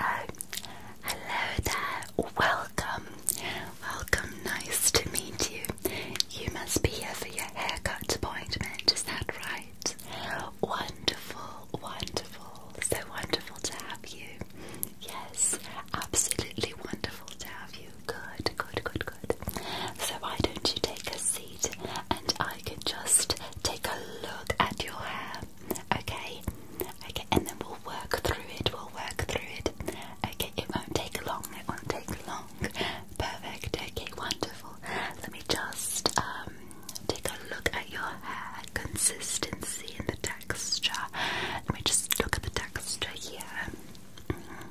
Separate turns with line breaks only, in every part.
Oh, hello there. Welcome. Welcome. Nice to meet you. You must be here for your haircut appointment, is that right? Wonderful, wonderful. So wonderful to have you. Yes, absolutely wonderful to have you. Good, good, good, good. So, why don't you take a seat and I can just take a look at your hair, okay? Okay, and then we'll work through it, we'll work through it. Okay, it won't take long, it won't take long. Perfect, okay, wonderful. Let me just um, take a look at your hair consistency in the texture. Let me just look at the texture here. Mm -hmm.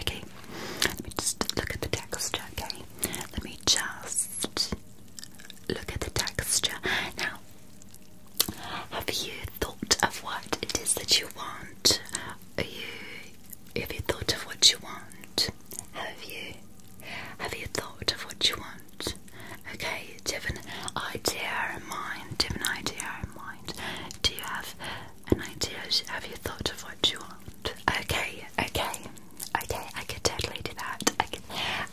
Okay, let me just look at the texture. Okay, let me just look at the texture. Now, have you thought of what it is that you want? Are you, have you thought of what you want? Have you? Have you thought of what you want? Okay, different idea in mind? Different idea in mind? Do you have an idea? Have you thought of what you want? Okay, okay, okay, I can totally do that. I can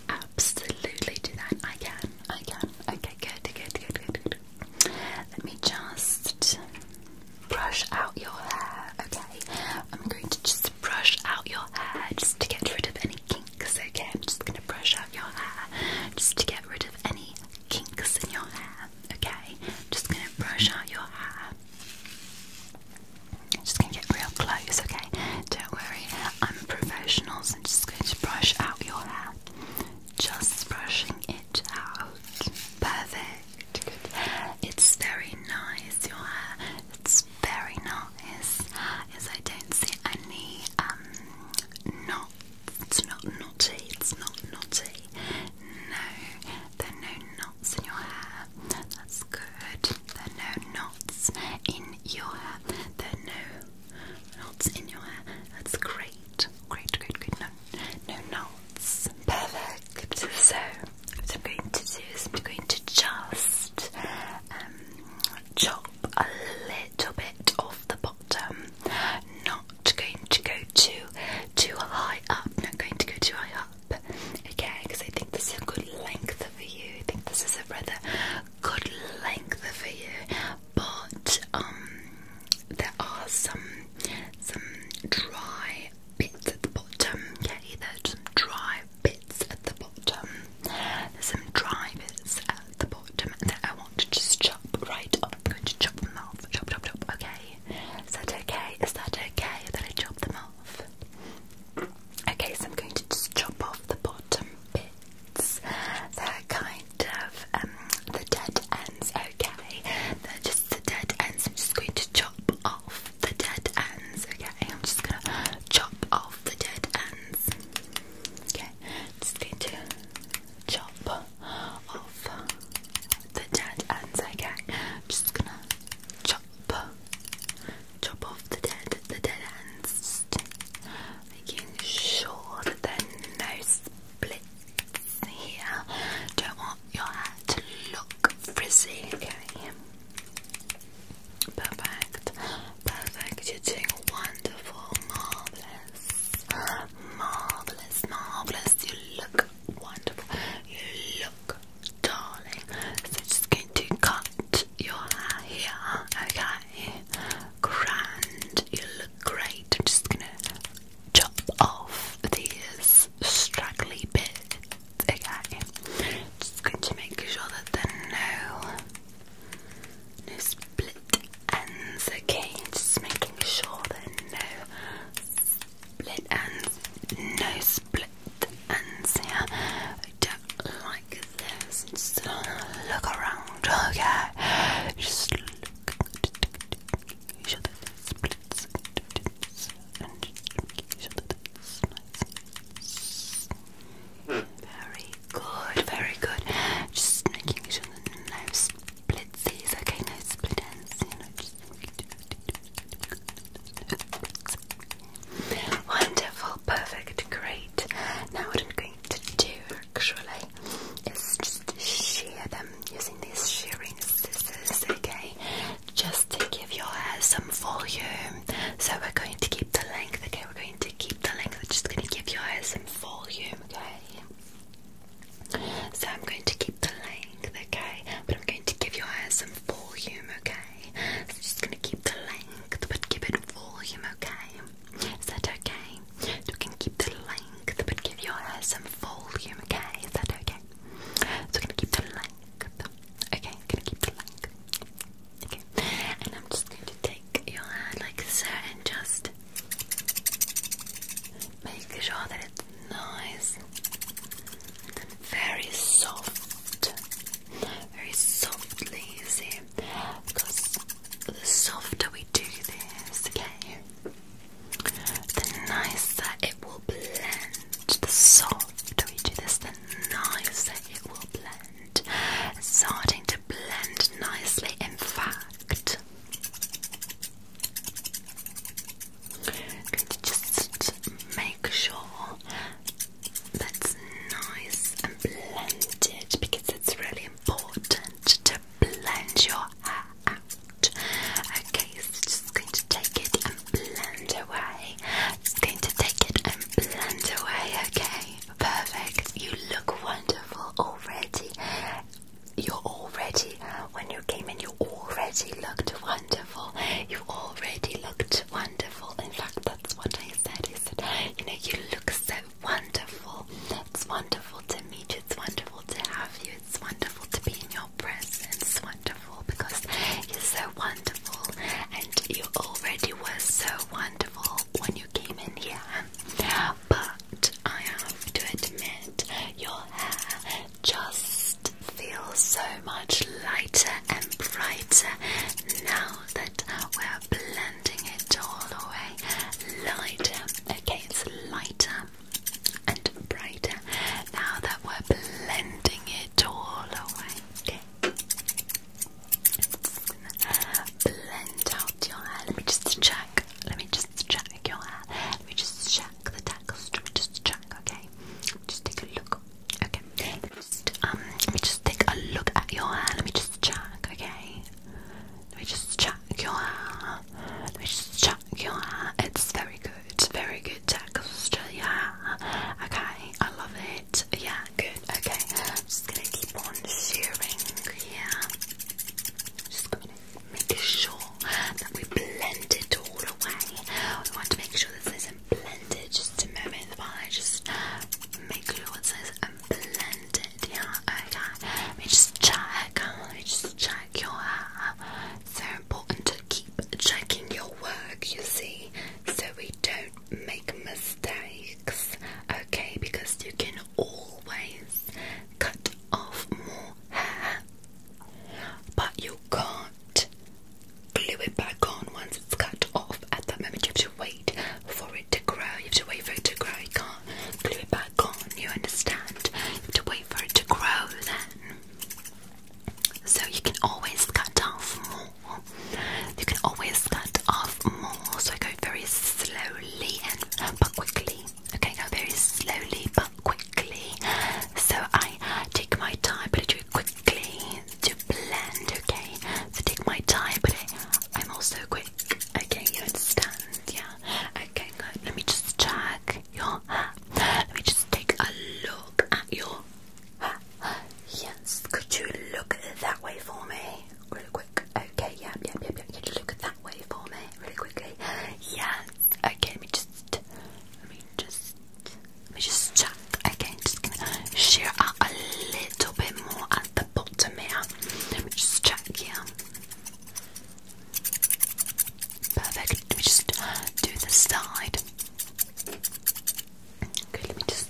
absolutely do that. I can, I can. Okay, good, good, good, good, good. Let me just brush out your hair, okay? I'm going to just brush out your hair just to get rid of any kinks, okay? I'm just gonna brush out your hair just to get rid of any kinks in your hair, okay? I'm just gonna brush out your hair. I'm just gonna get real close, okay? Don't worry, I'm a professional, just going to brush out your hair. Just brushing it out. Perfect. It's very nice, your hair. It's very nice. As I don't see any um, not, it's not knotty, it's not knotty, no, there are no knots in your hair, that's good, there are no knots in your hair, there are no knots in your hair, that's great, great, great, great, no, no knots, perfect, so, what I'm going to do is I'm going to just, um, chop a little little bit off the bottom. Not going to go too too high up. Not going to go too high up. Okay, because I think this is a good length for you. I think this is a rather good length for you. But um, there are some some dry bits at the bottom. Yeah, are some dry bits at the bottom. There's some dry at the bottom that I want to just chop right up. I'm going to chop them off. Chop, chop, chop. Okay. Is that okay? Is that okay that I chop them off? Okay, so I'm going to just chop off the bottom bits. They're kind of um, the dead ends. Okay. They're just the dead ends. I'm just going to chop off the dead ends. Okay. I'm just going to chop off the dead ends. Okay, just going to chop off the dead ends. Okay, just gonna chop, chop off the dead, the dead ends. making sure that there no splits here. Don't want your hair to look frizzy. Okay. Perfect. Perfect, you're doing wonderful, marvelous, marvelous, marvelous. You look wonderful, you look darling. So, just going to cut your hair here, okay? Grand, you look great. I'm just gonna chop off these straggly bits, okay? Just going to make sure that they're no split ends, okay? Just making sure there's no split ends, no split ends here. I don't like this. Just look around, okay? Just look, make sure that splits and just make sure very good, very good. Just making sure that no split okay? No split ends, you know, just Wonderful, perfect, great. Now, what I'm going to do actually is just shear them using these shearing scissors, okay? Just to give your hair some volume. So, we're going to keep the length, okay? We're going to keep keep going to give your hair some volume, okay? So I'm going to keep the length, okay? But I'm going to give your hair some volume, okay? just going to keep the length, but give it volume, okay? Is that okay? You can keep the length, but give your hair some volume, okay? Is that okay? So I'm going to keep the length, okay? going to keep the length and I'm just going to take your hand like so and just make sure that it's nice and very soft, very softly, you see, because the softer we do this, okay, the nicer it will blend. The softer we do this, the nicer it will blend. It's starting to blend nicely, in fact. going to just make sure that's nice and blended because it's really important to blend your out. Okay, so just going to take it and blend away. going to take it and blend away, okay? perfect. You look wonderful already. You're already, when you came in, you already looked wonderful. You already looked wonderful. In fact, that's what I said. I said, you know, you look so wonderful. It's wonderful to meet you. It's wonderful to have you. It's wonderful to be in your presence. It's wonderful because you're so wonderful and you already were so wonderful when you you came in here, but I have to admit, your hair just feels so much lighter and brighter now that we're blending it all away. Lighter, okay, it's lighter and brighter now that we're blending it all away. Okay blend out your hair. Let me just check. Let me just check your hair. Let me just check the texture. Just check, okay? Just take a look. Okay. Just, um, let me just take a look at your hair. Let me just check, okay? Let me just check your hair. Let me just check your hair. It's very good. Very good texture, yeah. Okay, I love yeah, good. Okay, I'm just gonna keep on searing. Yeah, just gonna make sure that we blend it all away. We want to make sure this is blended. Just a moment, while I just make sure it says blended. Yeah, I got. Let me just check. Let me just check your hair. So important to keep checking your work. You see, so we don't make mistakes, okay? Because you can always cut off more hair, but you can't glue it back on once it's cut off. At that moment, you have to wait for it to grow. You have to wait for it to grow. You can't glue it back on. You understand? You have to wait for it to grow then. So you can always cut off more you can always cut off more, so I go very slowly and uh, but quickly. Okay, go very slowly but quickly. So I take my time, but I do it quickly to blend. Okay, so take my time, but I, am also quick. Okay, you understand? Yeah. Okay, good. Let me just check your Let me just take a look at your Yes, could you look that way for me? Really quick. Okay, yeah, yeah, yeah, yeah. Can you look at that way for me really quickly? Yes. Okay, let me just let me just let me just check. Okay, I'm just gonna shear out a little bit more at the bottom here. Let me just check here. Perfect. Let me just do the side. Okay, let me just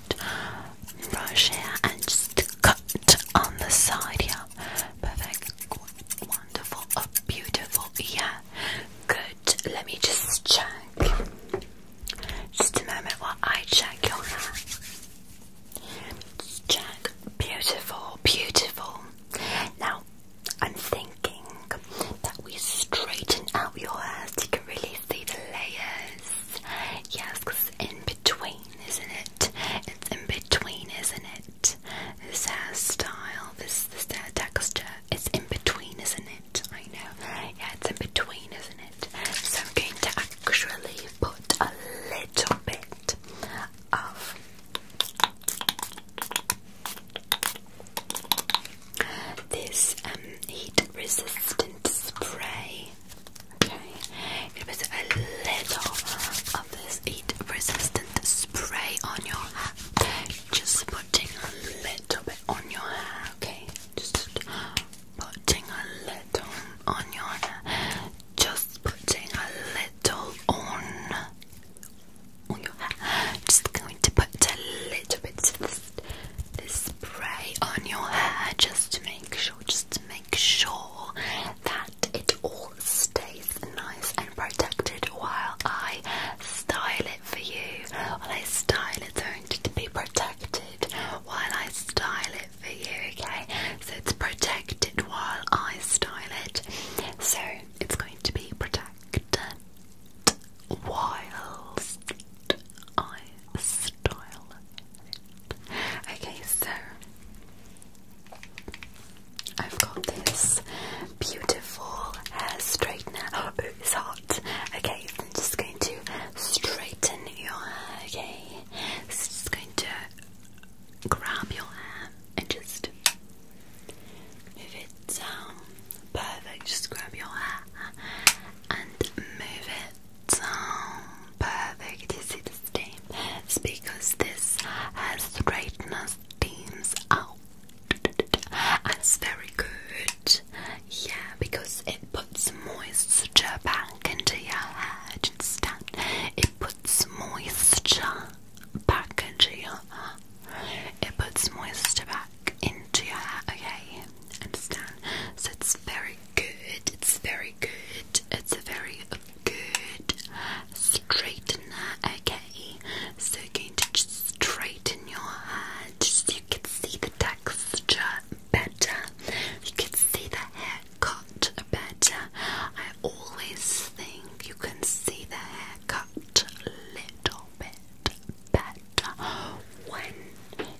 brush here and just cut on the side here. Perfect. Wonderful. Oh, beautiful. Yeah. Good. Let me just check. Just a moment while I check your hair. Just check. Beautiful. Beautiful. Now, I'm thinking that we straighten out your hair so you can really see the layers. Yes, in between, isn't it? It's in between, isn't it? This hairstyle, this this hair texture, it's in between, isn't it? I know. Yeah, it's in between, isn't it? So I'm going to actually put a little bit of this um, heat resistant spray Okay, it was a little of this heat resistant spray on your hair. Just putting a little bit on your hair, okay? Just putting a little on your hair. Just putting a little on, on your hair. Just going to put a little bit of this, this spray on your hair just to make sure just make sure that it all stays nice and protected while I style it for you. While I style it, it's going to be protected while I style it for you, okay? So it's protected while I style it. So it's going to be protected whilst I style it. Okay, so I've got this beautiful hair straightener. Oh, it's hot. Okay, I'm just going to straighten your hair, okay? So just going to grab your hair and just move it down. Perfect, just grab your hair and move it down. Perfect, you It's because this has straightness steams out. That's very good. Yeah, because it puts moisture back into your hair. Understand? It puts moisture back into your hair. It puts moisture back into your hair. Okay, understand? So it's very good. It's very good. It's a very good straightener. Okay, so going to just straighten your hair. Just you can see the texture better. You can see the hair cut better. I always think you can see the haircut a little bit better when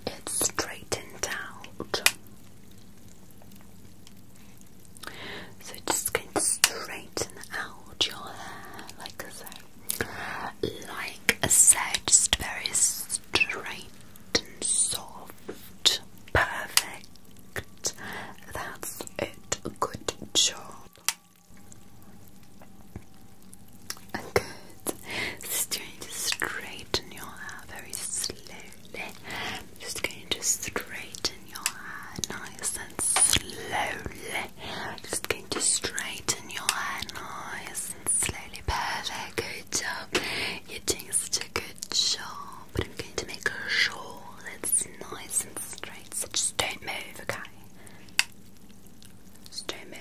it's straightened out. So just going to straighten out your hair like so. Like I said, just very straight and soft. Perfect. That's it. Good job. Okay it. Just going to straighten your hair very slowly. Just going to straighten your hair nice and slowly. Just going to straighten your hair nice and slowly. Perfect, good job. You're doing such a good job. But I'm going to make sure that it's nice and straight. So just don't move, okay? Just don't move.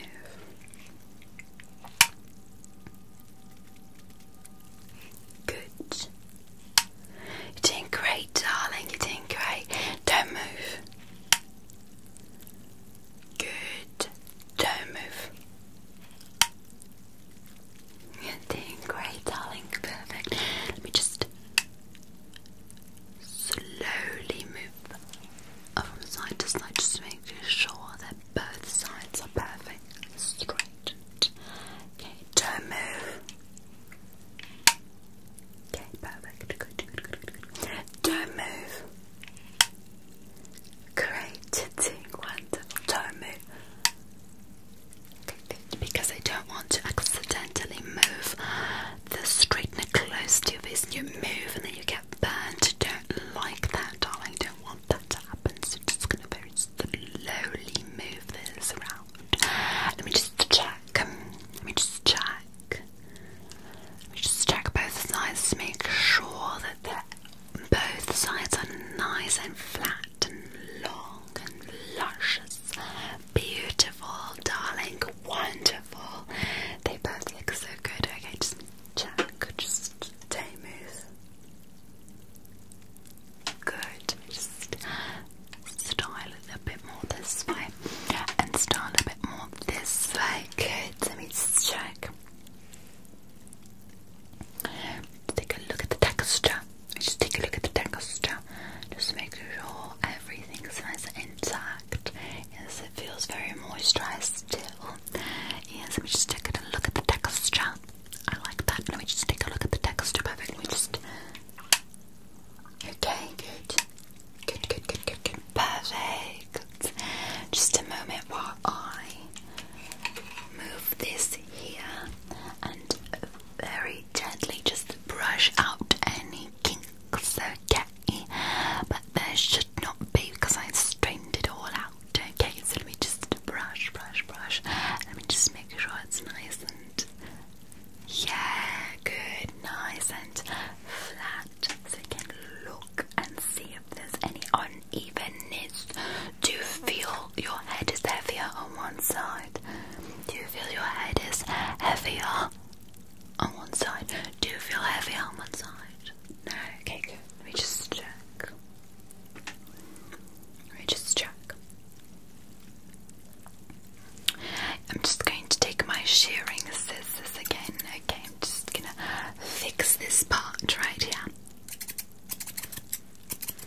Good. You're doing great, darling. You're doing great. Don't move. Good. Don't move. You're doing great, darling. Perfect. Let me just slowly move from side to side just to make sure that both sides are perfect. Straightened. Okay, don't move. Okay, perfect. Don't move. Great, wonderful. Don't move. because I don't want to accidentally move the straightener close to your face and you move and then you get burnt. Don't like that, darling. Don't want that happens. happen, so just gonna very slowly move this around. Let me just check. Um, let me just check. Let me just check both sides to make sure that they're, both sides are nice and flat and long and luscious. Beautiful, darling, wonderful. They both look so good. Okay, just check. Just stay move. Good. Just style it a bit more this way. And style a bit more this way. Good. Let me check. Take a look at the texture. Just take a look at the texture. Just make sure everything's nice and intact. Yes, it feels very moisturized still is let me just take a look at the texture. I like that. Let me just take a look at the texture. Perfect. Let me just. Okay, good. Good, good, good, good, good. Perfect. Just a moment while I move this here and very gently just brush out any kinks, okay? But there should not be because I strained it all out out. Okay, so let me just brush, brush, brush. Let me just make sure it's nice and yeah, good, nice and flat, so you can look and see if there's any unevenness. Do you feel your head is heavier on one side? Do you feel your head is heavier on one side? Do you feel heavier on one side? No, okay, good. Let me just check just check. I'm just going to take my shearing scissors again. Okay, I'm just gonna fix this part right here.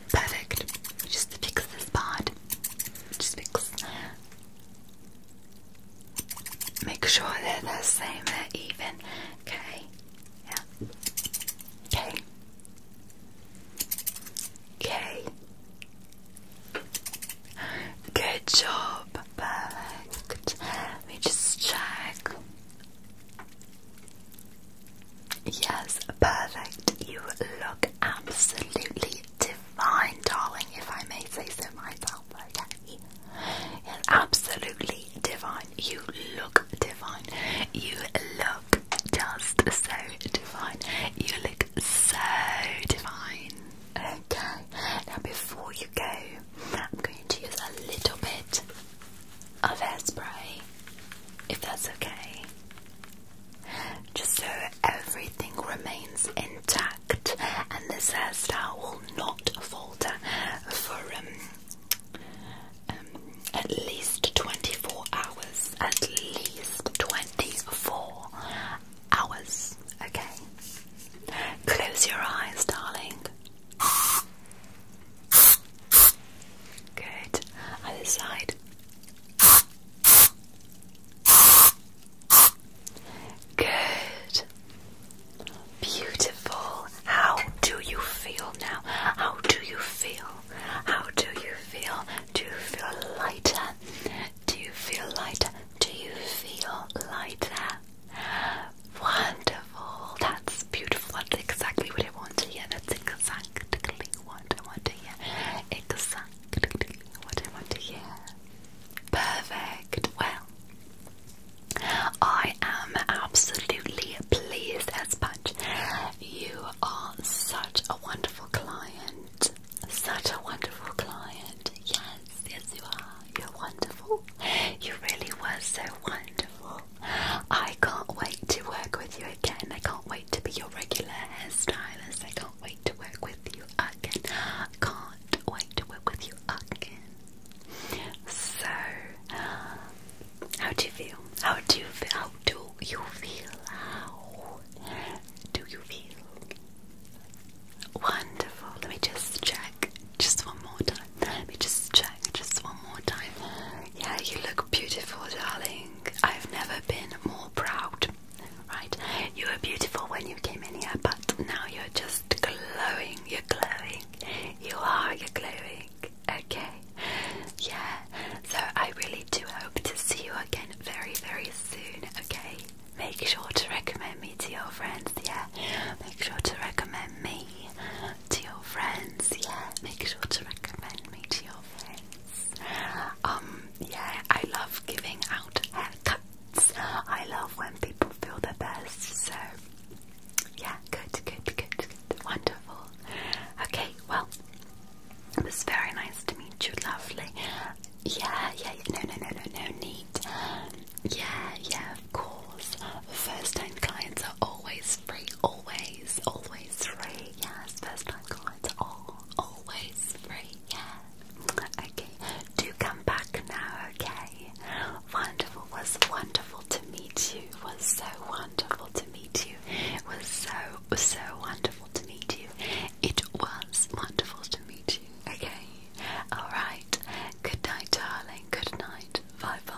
Perfect. Just fix this part. Just fix. Make sure they're the same, they even. Okay. Yeah. K. K. Good job. Perfect. Let just check. Yes, perfect. You look absolutely divine, darling, if I may say so myself. Okay. Yes, absolutely divine. You look divine. You look just so divine. You look so divine. Okay, now before you go, I'm going to use a little bit of hairspray, if that's okay. Just so everything remains intact and this hairstyle will not falter for um, um, at least 24 hours. At least 24 hours. Okay. Close your eyes, darling. Good. Other side. Good. Beautiful. How do you feel now? How do you feel? How do you feel? Do you feel lighter? Do you feel lighter? Do you feel lighter? Wonderful. That's beautiful. That's exactly what I want to hear. That's exactly what I want to hear. Exactly what I want to hear. Perfect. Well, I am absolutely pleased as much. You are such a wonderful client. Such a wonderful client. Yes, yes, you are. You're wonderful. You really were so wonderful. I can't wait to work with you again. I can't wait to be your regular hairstylist. I can't wait to work with you again. I can't wait to work with you again. So, how do you feel? How do you feel? How do you feel? How do you feel? Wonderful. Let me just check. Just one more time. Let me just check. Just one more time. Yeah, you look beautiful, darling. I've never been more proud. Right? You were beautiful when you came in here, but now you're just glowing. You're glowing. You are, you're glowing. Okay. Yeah. So I really do hope to see you again very, very soon. Okay. Make sure to recommend me to your friends. Yeah. Make sure to recommend me to your friends. Yeah. Make sure to recommend me to your friends. Um, yeah, I love giving out haircuts. I love when people feel their best. So yeah, good, good, good, good. Wonderful. Okay, well, it was very nice to meet you, lovely. Yeah, yeah, yeah. no, no, no, no, no need. Yeah, yeah, of course. First time clients are always free, always, always free. Yes, first time clients are all, always free, yeah. Okay, do come back now, okay? today. Wonderful was wonderful to meet you. Was so wonderful to meet you. Was so so wonderful to meet you. It was wonderful to meet you. Okay. All right. Good night, darling. Good night. Bye bye.